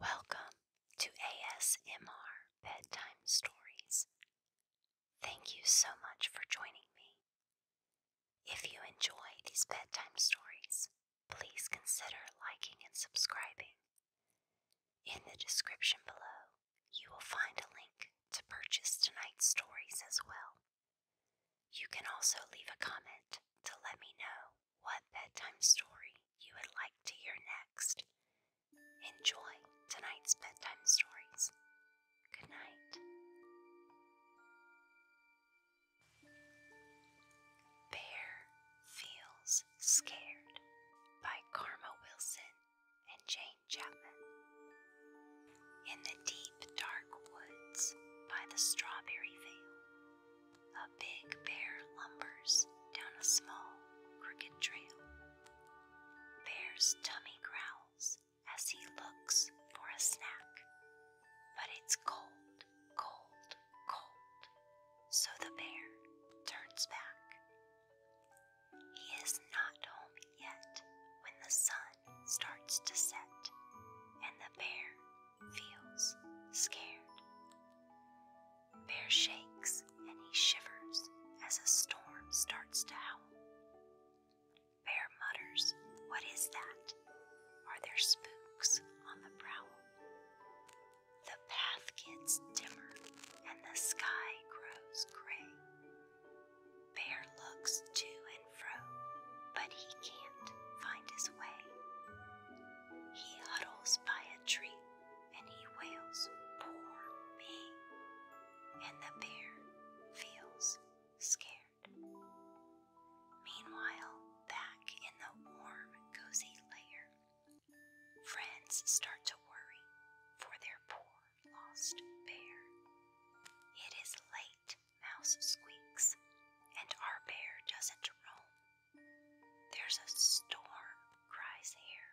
Welcome to ASMR Bedtime Stories. Thank you so much for joining me. If you enjoy these bedtime stories, please consider liking and subscribing. In the description below, you will find a link to purchase tonight's stories as well. You can also leave a comment to let me know what bedtime story you would like to hear next. Enjoy tonight's bedtime stories. Good night. Bear Feels Scared by Karma Wilson and Jane Chapman. In the deep, dark woods by the strawberry field, a big bear lumbers down a small, crooked trail. Bear's tummy growls as he looks for a snack, but it's cold, cold, cold, so the bear turns back. He is not home yet when the sun starts to set, and the bear feels scared. Bear shakes and he shivers as a storm starts to howl. Bear mutters, What is that? Are there spooks on the prowl? The path gets dimmer and the sky grows gray. Bear looks to and fro, but he can't find his way. He huddles by a tree and he wails, Poor me! And the bear feels scared. Meanwhile, back in the warm, cozy lair, friends start to worry for their poor lost bear. It is late, Mouse squeaks, and our bear doesn't roam. There's a storm, cries Hare.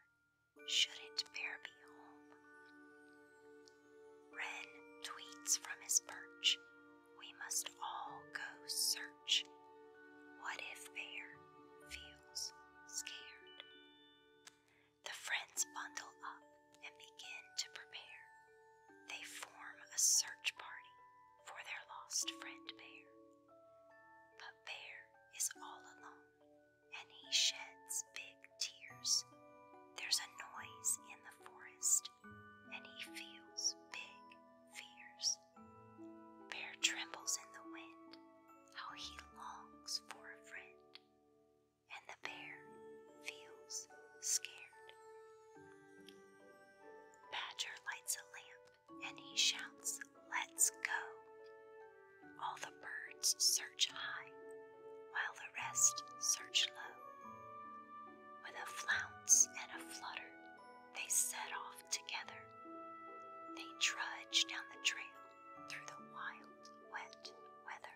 Shouldn't bear be home? Wren tweets from his perch. We must all go search. What if bear feels scared? The friends bundle up and begin to prepare. They form a search party for their lost friend Bear. But Bear is all alone and he sheds big tears. There's a noise in the forest and he feels big fears. Bear trembles in the wind how he longs for a friend, and the bear feels scared. Badger lights a lamp and he shouts, Let's go! All the birds search high, while the rest search low. With a flounce and a flutter, they set off together. They trudge down the trail through the wild, wet weather.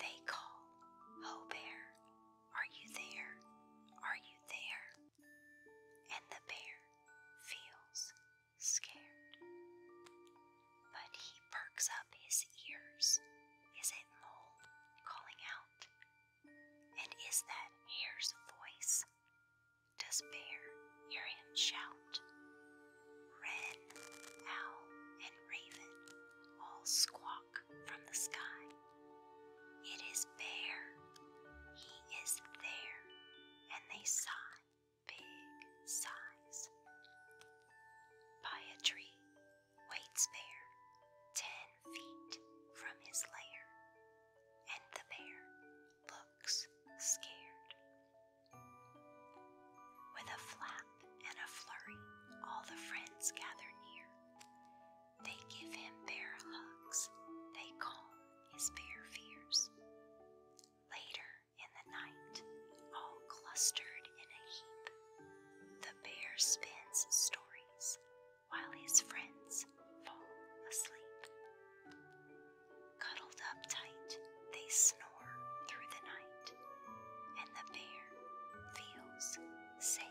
They call, Ho oh, Bear, are you there? Are you there? And the bear feels scared. But he perks up his ears. Is it Mole calling out? And is that hare's voice? Does bear hear him shout? Wren, owl, and raven all squawk from the sky. It is bear, he is there, and they sigh big sighs. By a tree waits bear, ten feet from his lair, and the bear looks scared. With a flap and a flurry, all the friends gather near. They give him bear hugs, they calm his bear fears. Later in the night, all clustered in a heap, the bear spins stories while his friends fall asleep. Cuddled up tight, they snore through the night, and the bear feels safe.